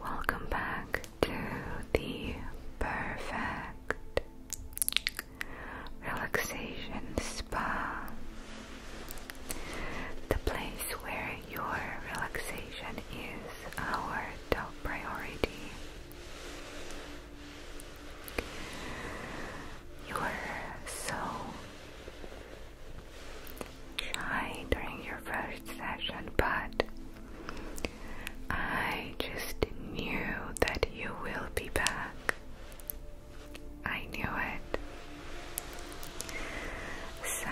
Welcome back to the perfect relaxation spa, the place where your relaxation is our top priority. You're so shy during your first session, but I just knew that you will be back. I knew it. So,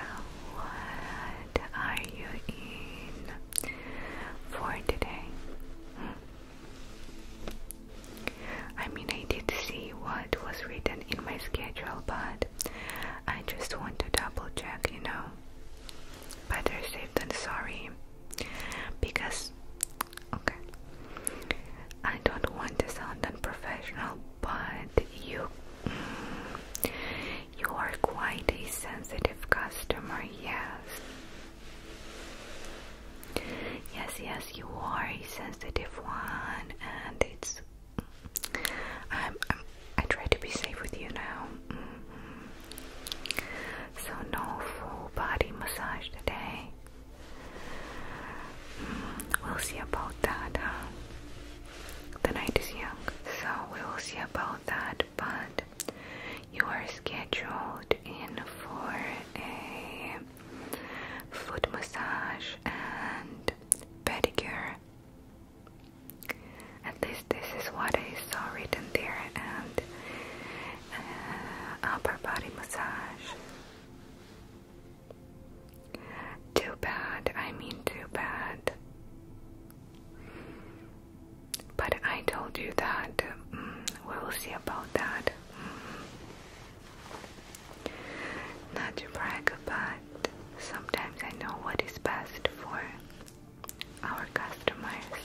what are you in for today? Hmm. I mean, I did see what what was written in my schedule, but I just want to double check, you know. Better safe than sorry. Because, okay, I don't want to sound unprofessional, but you. Mm, you are quite a sensitive customer, yes. Yes, yes, you are a sensitive one, and it's I'm, i try to be safe with you now. Mm-hmm. So no full body massage today. Mm-hmm. we'll see about that, The night is young, so we will see about that. But you are scheduled in for a foot massage and pedicure at least this is what I saw written there and uh, upper body massage. Too bad, I mean, too bad. But I told you that mm, we will see about that. Mm-hmm. Not to brag about sometimes I know what is best for our customers.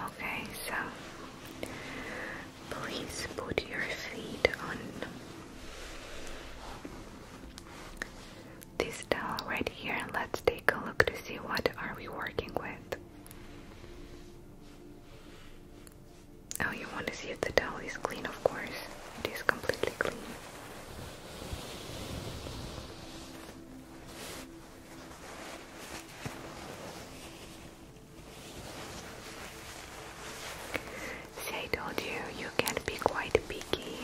Okay, so please put your feet on this towel right here and let's take a look to see what are we working with. Oh, you want to see if the towel is clean, of course. It is completely clean. See, I told you, you can not be quite picky.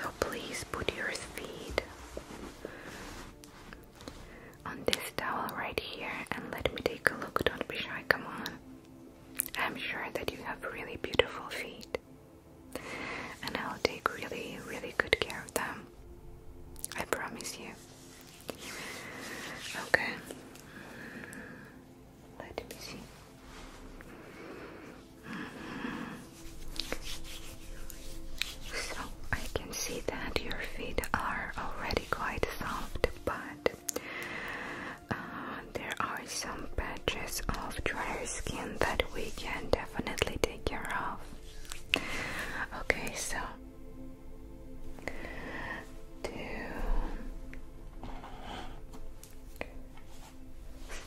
So please put your feet on this towel right here and let me take a look. Don't be shy, come on. I'm sure that you have really beautiful feet. And I'll take really, really good care of them. I promise you. Okay. Mm-hmm. Let me see. Mm-hmm. So I can see that your feet are already quite soft, but uh, there are some patches of drier skin that we can definitely take care of. Okay, so to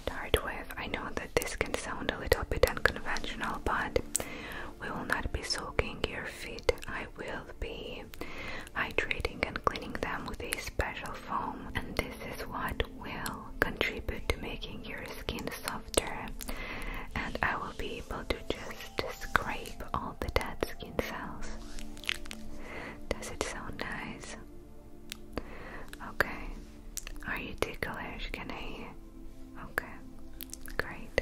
start with, I know that this can sound a little bit unconventional, but we will not be soaking your feet. I will be hydrating and cleaning them with a special foam, and this is what will contribute to making your skin softer. And I will be able to just scrape all the dead skin cells. Does it sound nice? Okay. Are you ticklish? Can I? Okay. Great.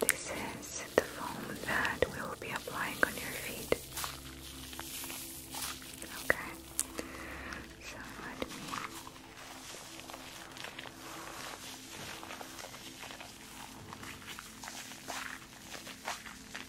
This is the foam that we will be applying on your feet. Okay,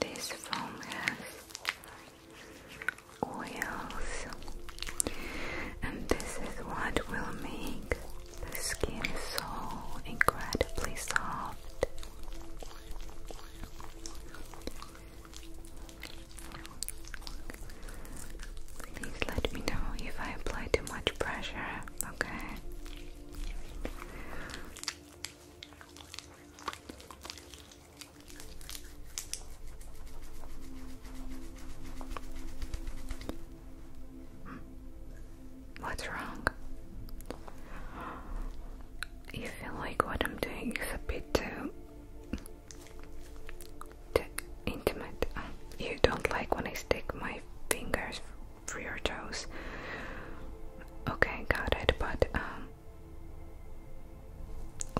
This foam has oils, and this is what will make the skin so incredibly soft. Please let me know if I apply too much pressure, okay? What's wrong? You feel like what I'm doing is a bit too the intimate. you don't like when I stick my fingers through your toes. Okay, got it, but um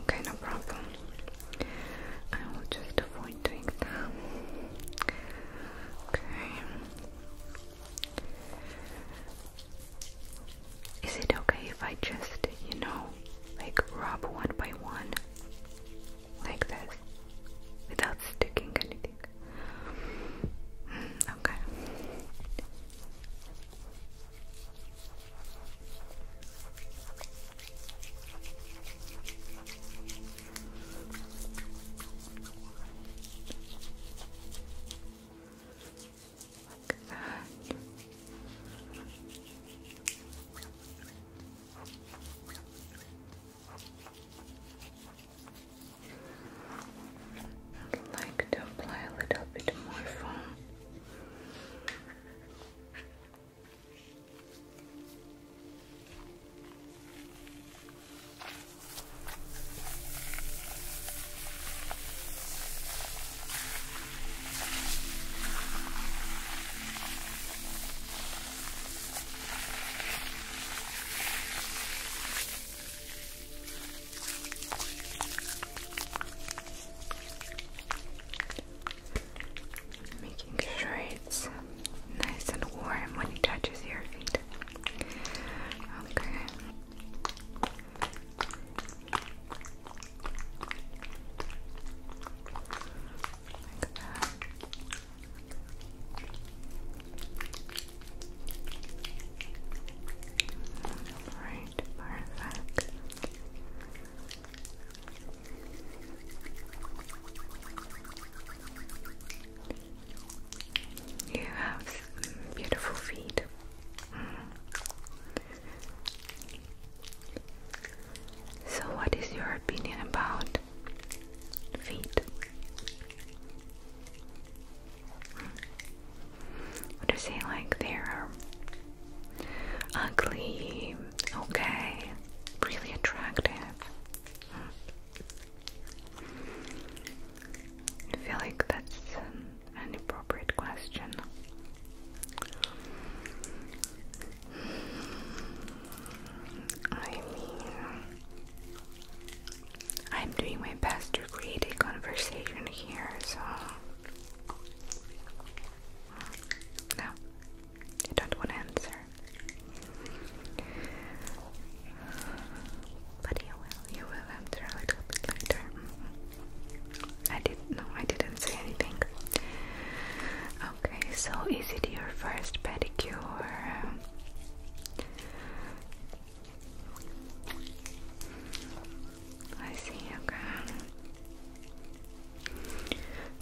okay, no problem. I will just avoid doing that. Okay. Is it okay if I just, you know, like rub one by one, like this, without sticking anything. Hmm, okay like that. I'd like to apply a little bit more foam. Making sure it's nice and warm when it touches your feet. Okay. Like Alright, perfect. You have beautiful feet. Mm. So, what is your opinion about feet? Do you say like they're ugly, okay, really attractive? Hmm. I feel like that's an, an appropriate question I mean, I'm doing my best to create a conversation here, so. No, I don't want to answer. But you will, you will answer a little bit later. I did no, I didn't say anything. Okay, so is it your first pedicure? I see. Okay.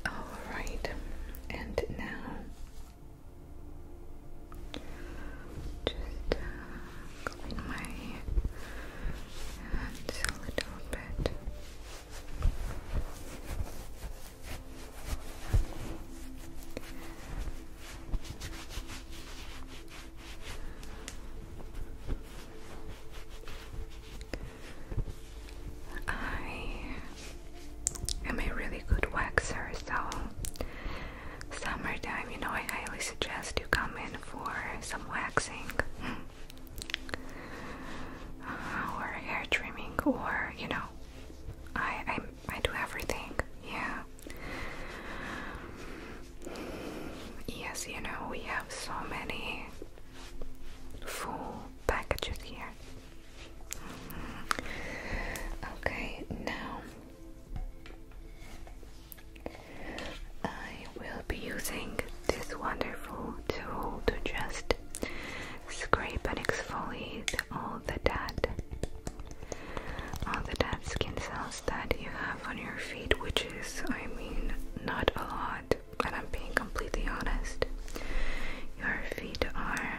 All right, and now. Just uh, clean my hands a little bit. I am a really good waxer, so summertime, you know, I highly suggest you come in for some waxing uh, or hair trimming, or you know, I I I do everything. Yeah. Yes, you know we have so many full packages here. Mm-hmm. Okay, now we will be using this wonderful tool to just scrape and exfoliate all the dead all the dead skin cells that you have on your feet, which is, I mean, not a lot, and I'm being completely honest. Your feet are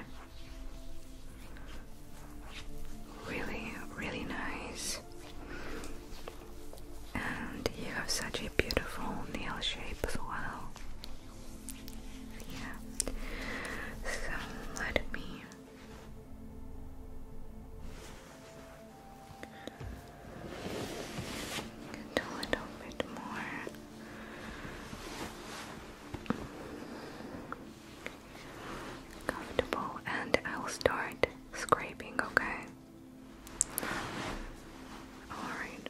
really, really nice. And you have such a beautiful nail shape as well. Yeah. So let me get a little bit more comfortable and I'll start scraping, okay? Alright.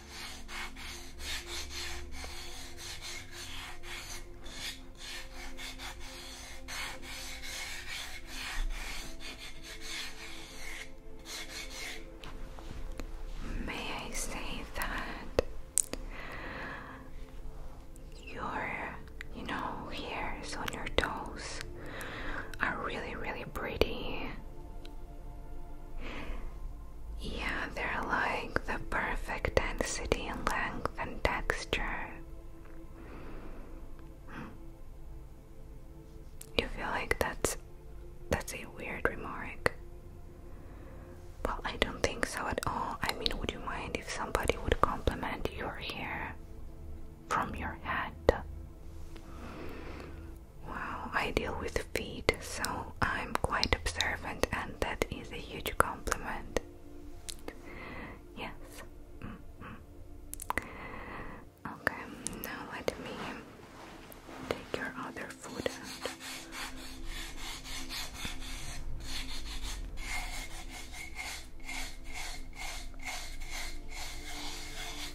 May I say that your, you know, hairs on your toes are really, really pretty. Yeah, they're like the perfect density and length and texture. You feel like that's that's a weird remark. Well, I don't think so at all. I mean, would you mind if somebody would compliment your hair from your head? Wow, I deal with feet, so I'm quite observant, and that is a huge compliment. Yes. Mm-hmm. Okay, now let me take your other food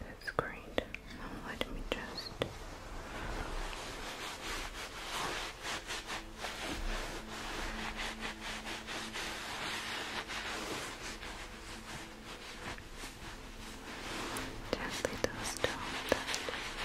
That's great. let me just gently dust off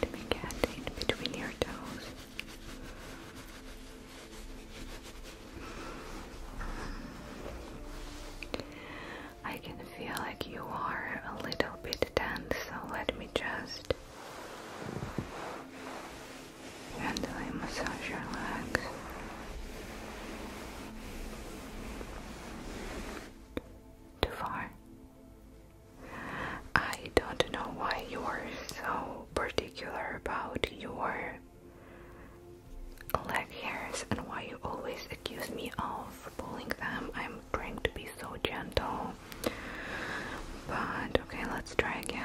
Let me get in between your toes. I can feel like you are a little bit tense, so let me just gently massage your legs. Too far. I don't know why you are so particular about your leg hairs and why you always accuse me of pulling them. I'm trying to be so gentle. But okay, let's try again.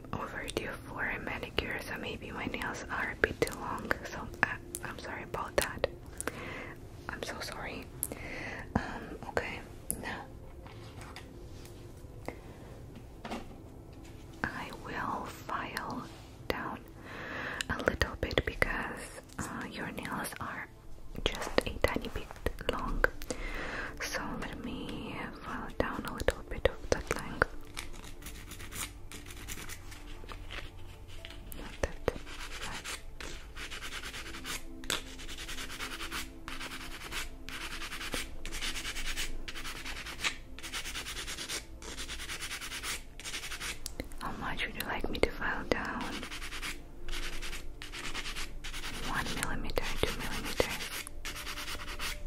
overdue for a manicure, so maybe my nails are a bit too long. So uh, I, am sorry about that. I'm so sorry. Um, okay, now I will file down a little bit because uh, your nails are just a tiny bit long. So with me follow down a little bit of that length. Not that right. How much would you like me to file down? One millimeter, two millimeters.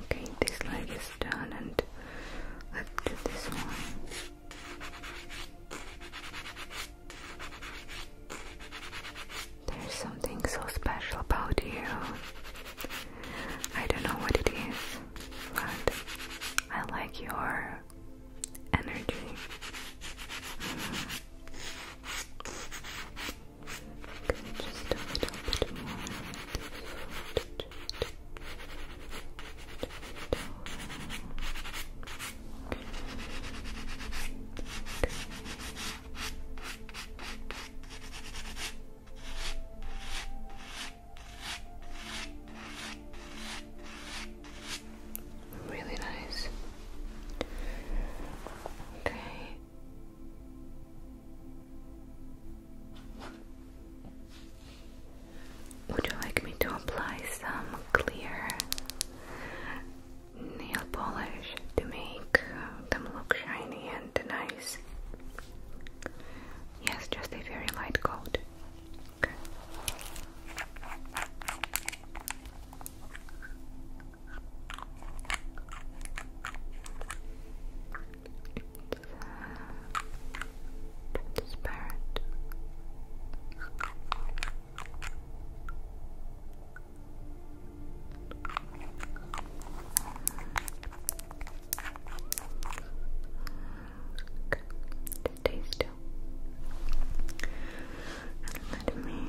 Okay, this leg is done, and let's do this one. There's something so special about you. I don't know what it is, but I like your energy. just a little bit more. Really nice. Okay. Would you like me to apply some clear nail polish to make uh, them look shiny and nice? Yes, just a very light coat transparent. Okay, stay let me coat.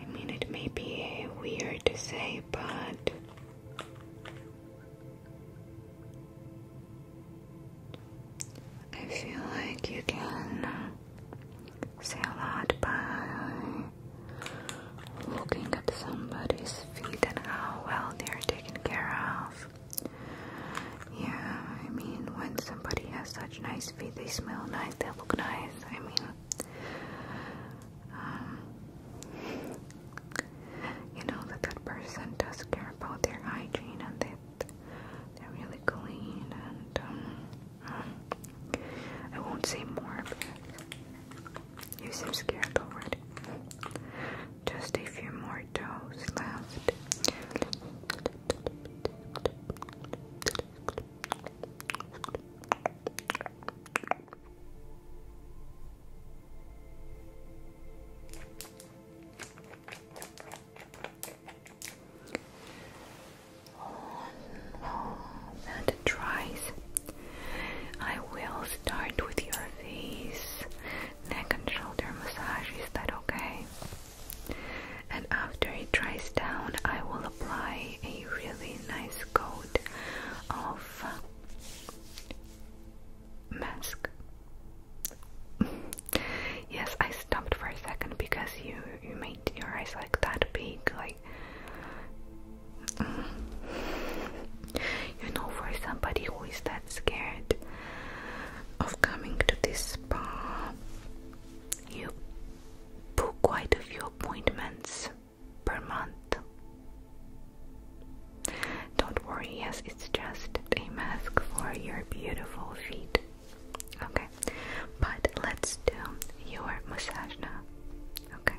I mean, it may be weird to say, but I feel like you can say a lot by looking at somebody's feet and how well they're taken care of. Yeah, I mean, when somebody has such nice feet, they smell nice, they look nice. I mean, um, you know, the good person does care about their hygiene and that they're really clean. And um, I won't say more, but you seem scared already. Just a few more toes left. Oh no, dries. I will start with your face, neck and shoulder massage. Is that okay? And after it dries down, I will apply a really nice coat of uh, mask. yes, I stopped for a second because you you made your eyes like that big, like you know, for somebody who is that scared of coming to this spa, you book quite a few appointments per month. Don't worry, yes, it's just a mask for your beautiful feet. Okay, but let's do your massage now. Okay.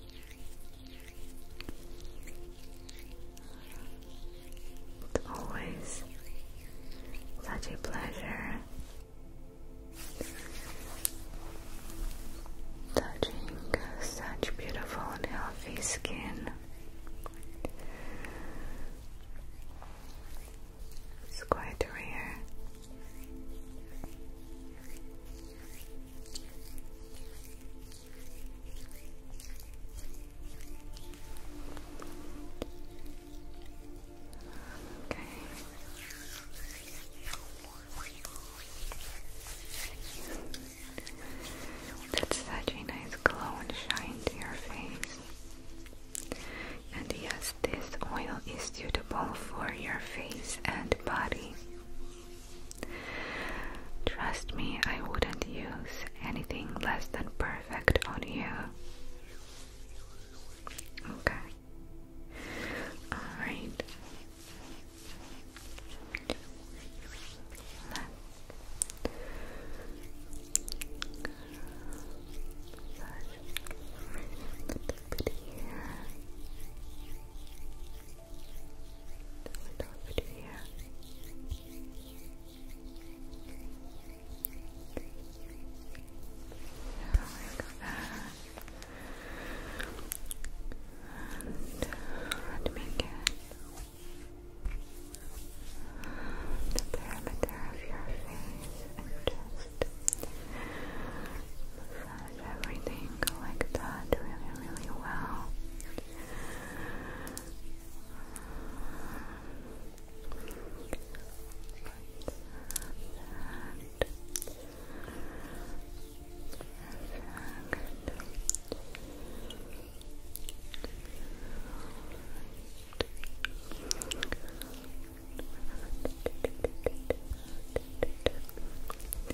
It's always such a pleasure touching such beautiful and healthy skin. It's quite rare. Okay. That's such a nice glow and shine to your face. And yes, this oil is suitable for your face and body. Trust me, I wouldn't use anything less than perfect on you. Okay. Alright. Let bit here. A little bit here. Like that. And let me the perimeter of your face just massage everything like that really, really well.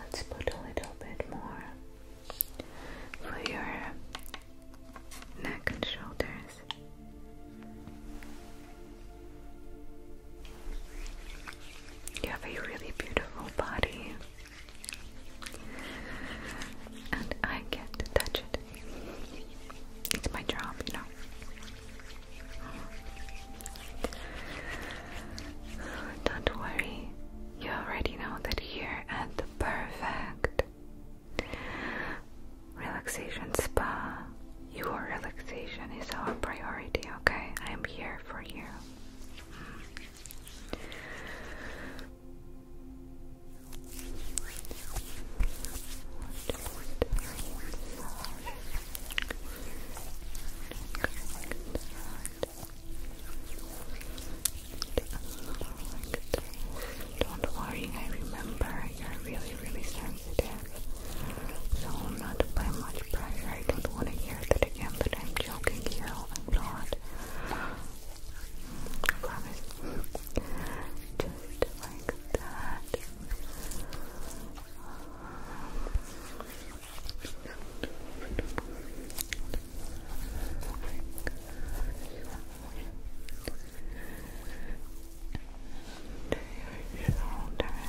let's put a little bit more for your neck and shoulders. You have a really beautiful body. And I get to touch it. It's my job, you know. Don't worry, you already know that here at the perfect relaxation spa, your relaxation is our priority, okay? I am here for you. Don't worry, I remember you're really, really sensitive. So not to much pressure. I don't want to hear that again, but I'm joking you. I'm I promise. Just like that. To your shoulders.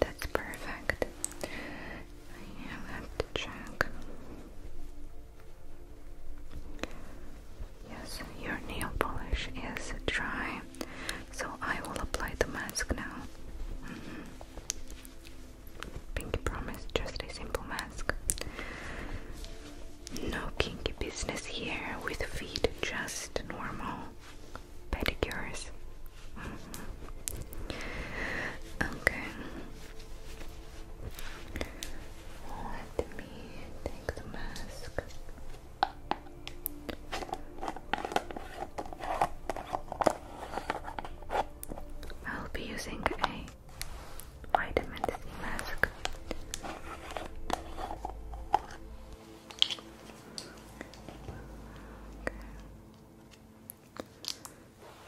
That's perfect. I have to check. Yes, your nail polish is dry, so I will apply the mask now. Mm-hmm. Pinky promise, just a simple mask. No kinky business here with feet, just normal pedicures. Mm-hmm. Okay. Let me take the mask. I'll be using a vitamin C mask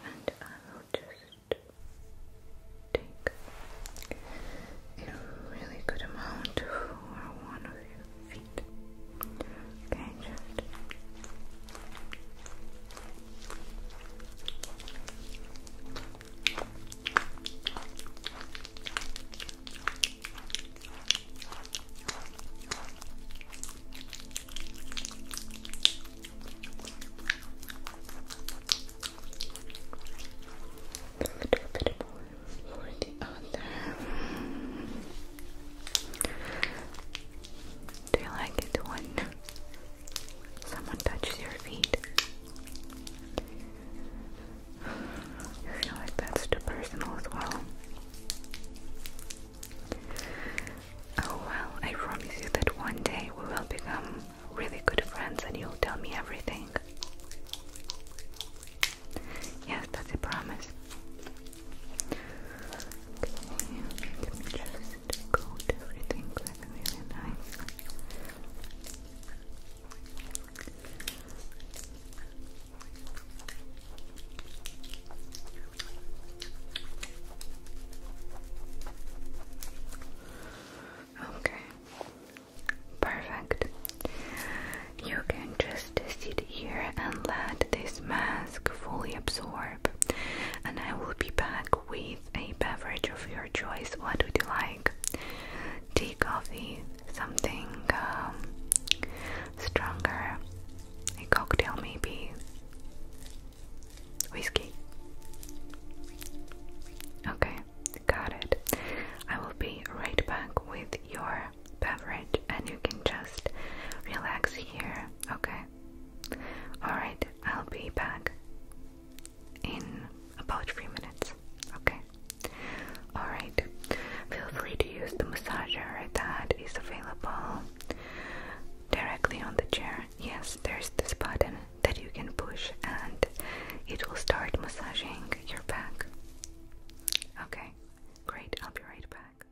and I will just take a really good amount for one of your feet. Okay, just but a little bit more for the other. Do you like it when someone touches your feet? I feel like that's too personal as well. Oh well, I promise you that one day we will become really good friends and you'll tell me everything. Yes, that's a promise. Okay, let just coat everything with really nice Okay, perfect. You can just sit here and let this mask fully absorb, and I will be back with a beverage of your choice. What would you like? Tea, coffee, something um, stronger, a cocktail, maybe. Whiskey. Okay, got it. I will be right back with your beverage and you can just relax here, okay? Alright, I'll be back in about 3 minutes, okay? Alright, feel free to use the massager that is available directly on the chair. Yes, there's this button that you can push and it will start massaging your back. Okay, great, I'll be right back.